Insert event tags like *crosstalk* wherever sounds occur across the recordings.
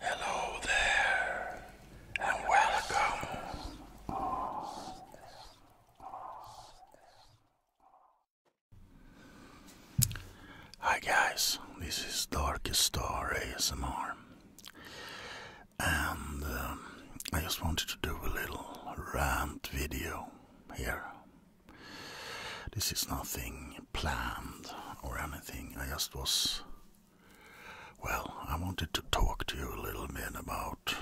Hello there, and welcome. Hi, guys, this is Darkest Star ASMR, and um, I just wanted to do a little rant video here. This is nothing planned or anything. I just was. Well, I wanted to talk to you a little bit about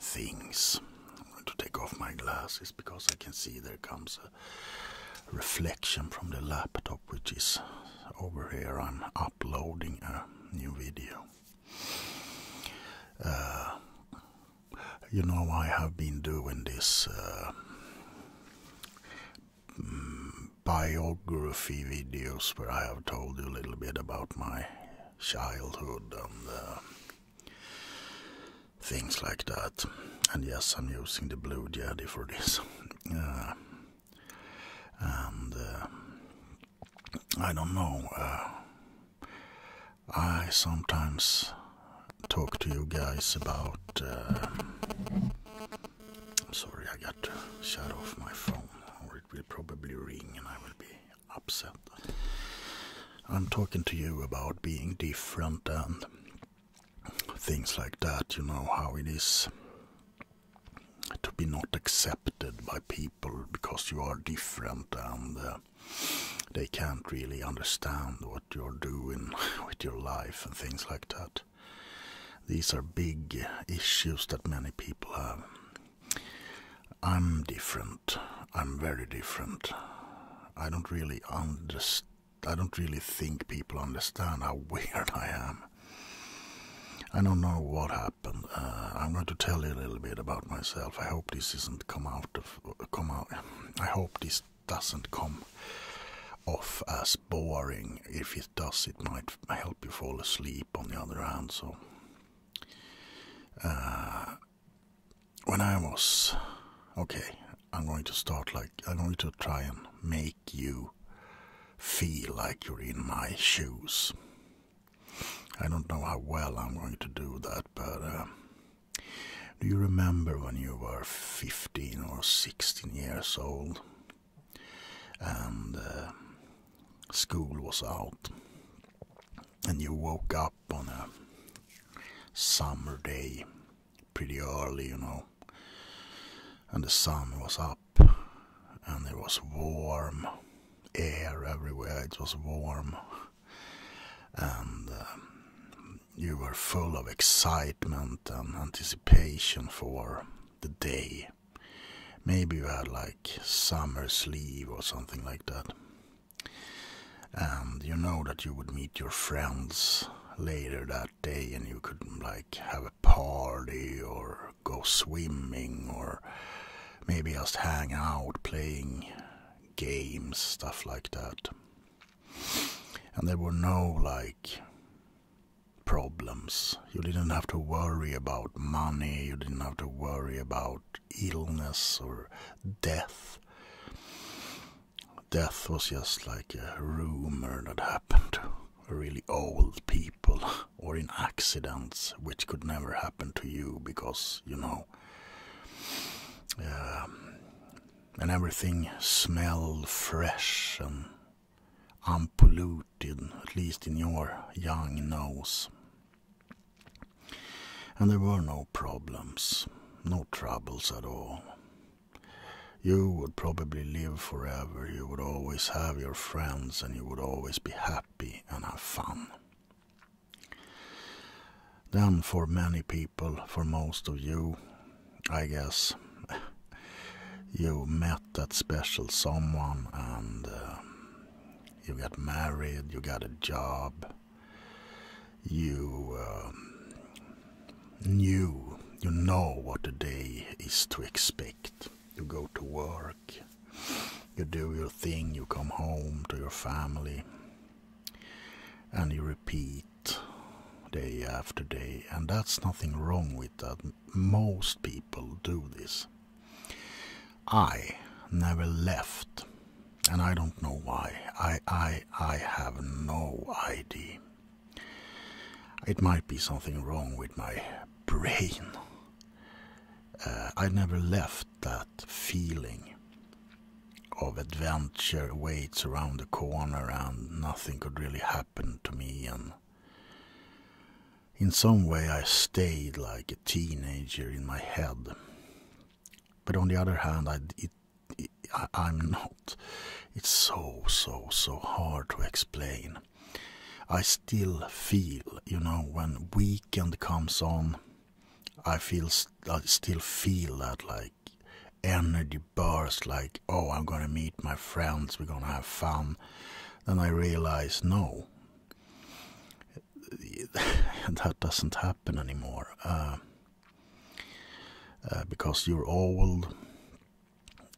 things. I'm going to take off my glasses because I can see there comes a reflection from the laptop, which is over here. I'm uploading a new video. Uh, you know, I have been doing this. Uh, biography videos where I have told you a little bit about my childhood and uh, things like that. And yes, I'm using the Blue Jedi for this. *laughs* Uh, and uh, I don't know. I sometimes talk to you guys about. Um, I'm sorry, I got shut off my phone, or it will probably ring and I will be upset. I'm talking to you about being different and things like that, you know, how it is to be not accepted by people because you are different and uh, they can really understand what you're doing *laughs* with your life and things like that. These are big issues that many people have. I'm different. I'm very different. I don't really understand. I don't really think people understand how *laughs* weird I am. I don't know what happened. Uh, I'm going to tell you a little bit about myself. I hope this isn't come out of come out. I hope this doesn't come off as boring. If it does, it might help you fall asleep, on the other hand. So, uh, when I was okay, I'm going to start like I'm going to try and make you feel like you're in my shoes. I don't know how well I'm going to do that, but uh, do you remember when you were 15 or 16 years old and uh, school was out and you woke up on a summer day pretty early, you know, and the sun was up and there was warm air everywhere, it was warm and um, you were full of excitement and anticipation for the day. Maybe you had like summer sleeve or something like that. And you know that you would meet your friends later that day and you could like have a party or go swimming or maybe just hang out playing games, stuff like that and there were no like problems. You didn't have to worry about money, you didn't have to worry about illness or death. Death was just like a rumor that happened to really old people *laughs* or in accidents, which could never happen to you because, you know, um, and everything smelled fresh and unpolluted, at least in your young nose. And there were no problems, no troubles at all. You would probably live forever, you would always have your friends, and you would always be happy and have fun. Then, for many people, for most of you, I guess, you met that special someone and uh, you got married, you got a job, you uh, knew, you know what a day is to expect. You go to work, you do your thing, you come home to your family, and you repeat day after day, and that's nothing wrong with that. Most people do this. I never left, and I don't know why. I, I, I have no idea. It might be something wrong with my *laughs* brain. Uh, I never left that feeling of adventure waits around the corner and nothing could really happen to me and in some way i stayed like a teenager in my head but on the other hand I, am not it's so so so hard to explain i still feel you know when weekend comes on I feel I still feel that like energy burst like oh I'm gonna meet my friends we're gonna have fun then I realize no *laughs* that doesn't happen anymore uh, uh, because you're old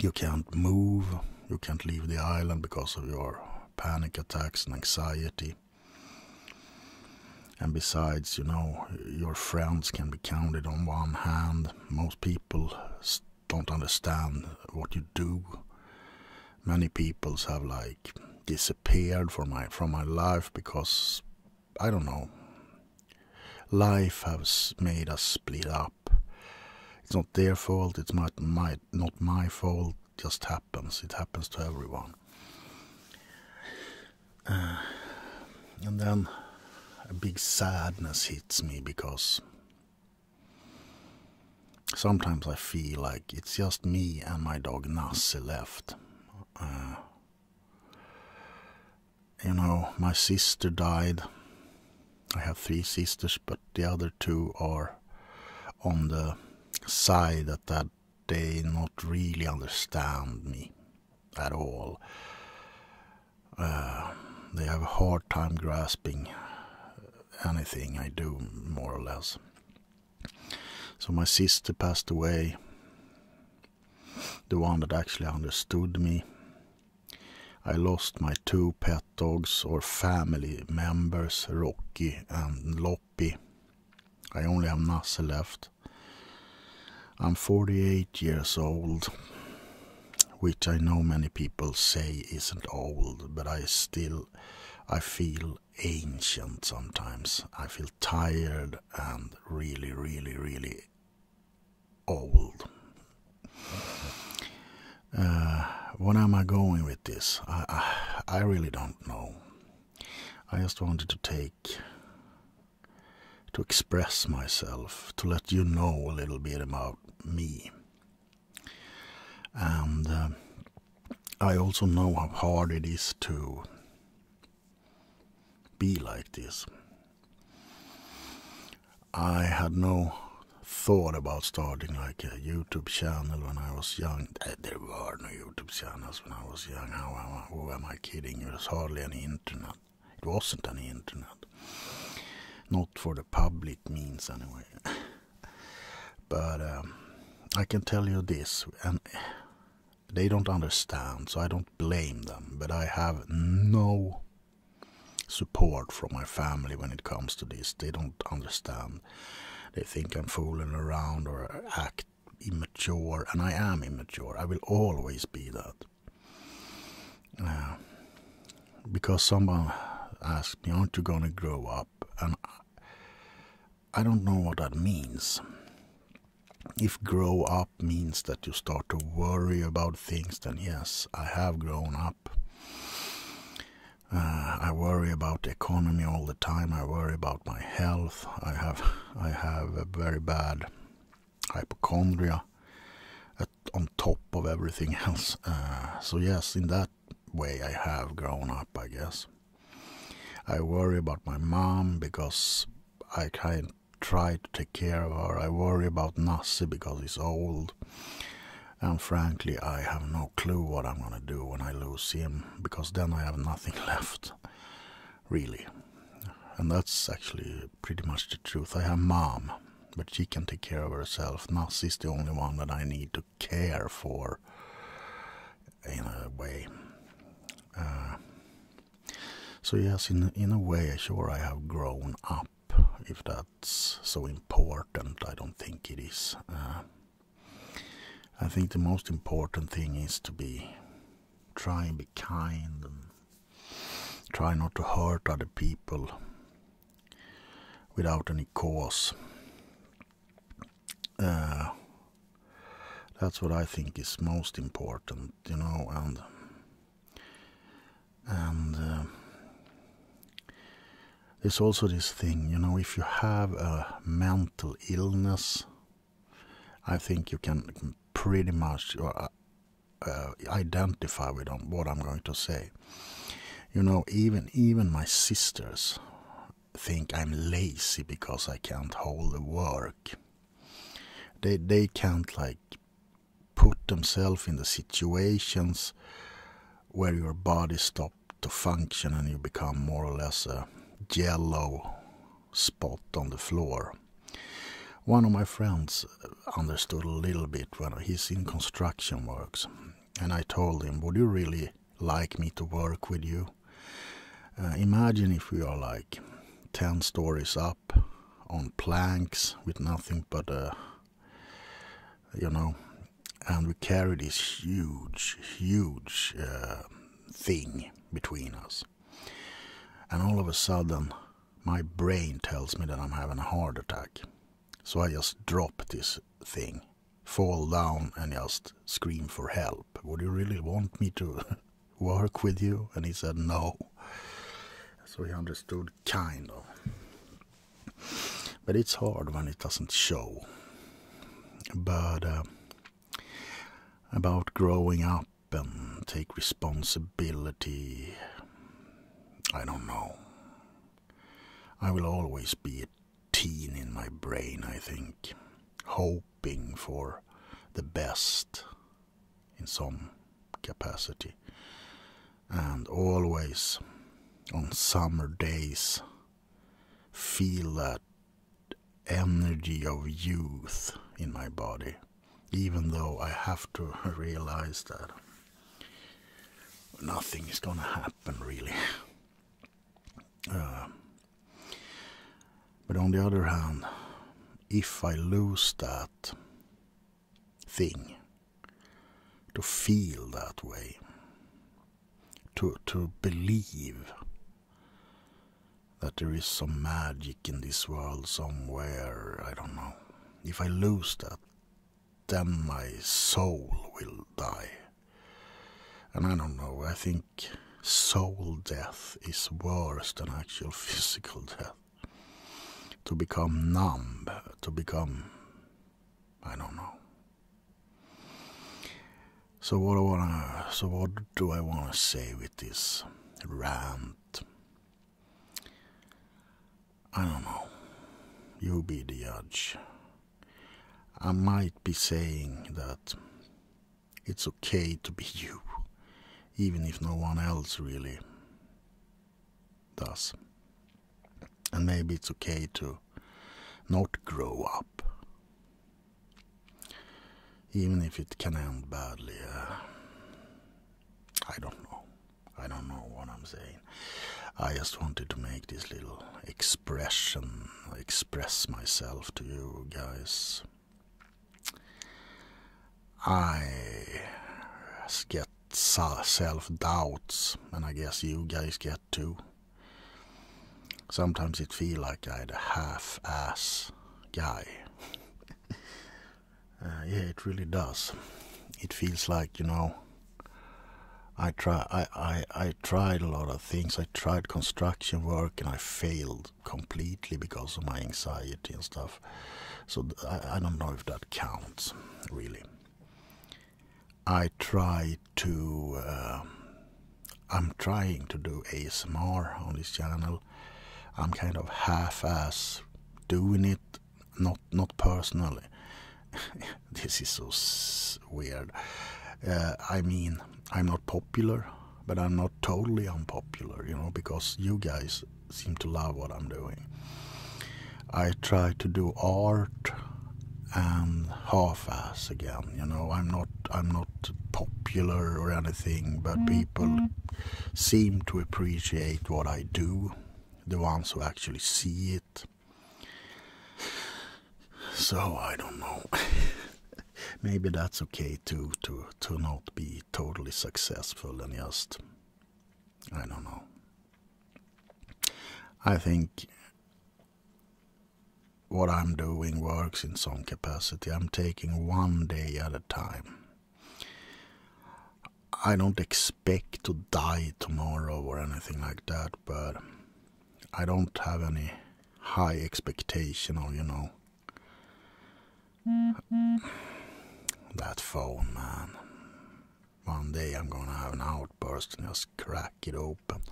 you can't move you can't leave the island because of your panic attacks and anxiety and besides, you know, your friends can be counted on one hand. Most people don't understand what you do. Many peoples have like disappeared from my from my life because I don't know. Life has made us split up. It's not their fault. It's not my not my fault. Just happens. It happens to everyone. Uh, and then a big sadness hits me because sometimes I feel like it's just me and my dog Nasi left. Uh, you know, my sister died. I have three sisters, but the other two are on the side at that they not really understand me at all. Uh, they have a hard time grasping anything I do, more or less. So my sister passed away, the one that actually understood me. I lost my two pet dogs or family members, Rocky and Lop happy. I only have Nasse left. I'm 48 years old, which I know many people say isn't old, but I still I feel ancient sometimes. I feel tired and really, really, really old. Uh, what am I going with this? I, I, I really don't know. I just wanted to take, to express myself, to let you know a little bit about me. And um, I also know how hard it is to be like this. I had no thought about starting like a YouTube channel when I was young. There were no Youtube-channels when I was young. How am I, kidding? There was hardly any internet. It wasn't any internet. Not for the public means, anyway. *laughs* but um, I can tell you this, and they don't understand, so I don't blame them. But I have no support from my family when it comes to this. They don't understand they think I'm fooling around or act immature, and I am immature. I will always be that. Uh, because someone asked me, Aren't you going to grow up? And I don't know what that means. If grow up means that you start to worry about things, then yes, I have grown up. Uh, I worry about the economy all the time. I worry about my health. I have I have a very bad hypochondria on top of everything *laughs* else. Uh, so yes, in that way, I have grown up. I guess I worry about my mom because I try to take care of her. I worry about Nasi because he's old, and frankly, I have no clue what I'm gonna do when I lose him because then I have nothing *laughs* left, really. And that's actually pretty much the truth. I have mom, but she can take care of herself. Nas is the only one that I need to care for in a way. Uh, so yes, in in a way, sure, I have grown up. If that's so important, I don't think it is. Uh, I think the most important thing is to be try and be kind and try not to hurt other people without any cause. Uh, that's what I think is most important, you know, and and uh, there's also this thing, you know, if you have a mental illness, I think you can pretty much uh, uh, identify with what I'm going to say. You know, even even my sisters think I'm lazy because I can't hold the work. They they can't like put themselves in the situations where your body stops to function and you become more or less a yellow spot on the floor. One of my friends understood a little bit when he's in construction works, and I told him, Would you really like me to work with you? Uh, imagine if we are like 10 stories up on planks with nothing but a uh, you know and we carry this huge, huge uh, thing between us. And all of a sudden, my brain tells me that I'm having a heart attack. So I just drop this thing, fall down, and just scream for help. Would you really want me to *laughs* work with you? And he said, No. So he understood, kind of but it's hard when it doesn't show. But uh, about growing up and take responsibility, I don't know. I will always be a teen in my brain, I think, hoping for the best in some capacity and always on summer days feel that energy of youth in my body, even though I have to *laughs* realize that nothing is gonna happen really. Uh, but on the other hand, if I lose that thing, to feel that way, to, to believe that there is some magic in this world somewhere, I don't know. If I lose that, then my soul will die. And I don't know, I think soul death is worse than actual *laughs* physical death. To become numb, to become. I don't know. So what I wanna, so what do I wanna say with this rant? I don't know. You be the judge. I might be saying that it's okay to be *laughs* you, even if no one else really Thus, And maybe it's okay to not grow up. Even if it can end badly. Uh, I don't know. I don't know what I'm saying. I just wanted to make this little expression, express myself to you guys. I get self doubts, and I guess you guys get too. Sometimes it feel like I'm a half ass guy. *laughs* Uh, yeah, it really does. It feels like, you know, I, try, I, I, I tried a lot of things. I tried construction work and I failed completely because of my anxiety and stuff. So I don't know if that counts, really. I try to. Um, I'm trying to do ASMR on this channel. I'm kind of half-ass doing it, not not personally. *laughs* this is so weird. Uh, I mean, I'm not popular, but I'm not totally unpopular, you know, because you guys seem to love what I'm doing. I try to do art and half-ass again. You know, I'm not I'm not popular or anything, but mm-hmm. people seem to appreciate what I do. The ones who actually see it. So I don't know. *laughs* Maybe that's okay too to to not be totally successful and just I don't know. I think what I'm doing works in some capacity. I'm taking one day at a time. I don't expect to die tomorrow or anything like that, but I don't have any high expectation or, you know. Mm-hmm. That phone, man. One day I'm gonna have an outburst and just crack it open.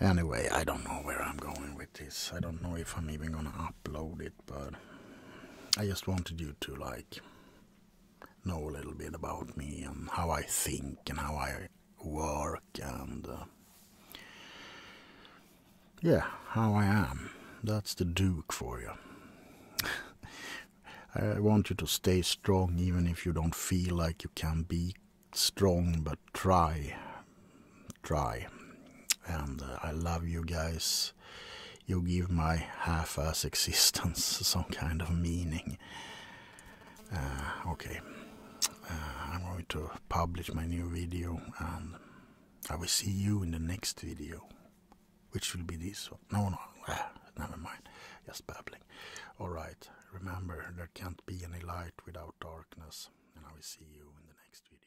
Anyway, I don't know where I'm going with this. I don't know if I'm even gonna upload it, but I just wanted you to like know a little bit about me and how I think and how I work and uh, yeah, how I am. That's the Duke for you. *laughs* I want you to stay strong even if you don't feel like you can be strong, but try. Try. And uh, I love you guys. You give my half ass *laughs* existence some kind of meaning. Uh, okay. Uh, I'm going to publish my new video and I will see you in the next video which will be this one. No, no, ah, never mind. Just babbling. All right, remember, there can't be any light without darkness, and I will see you in the next video.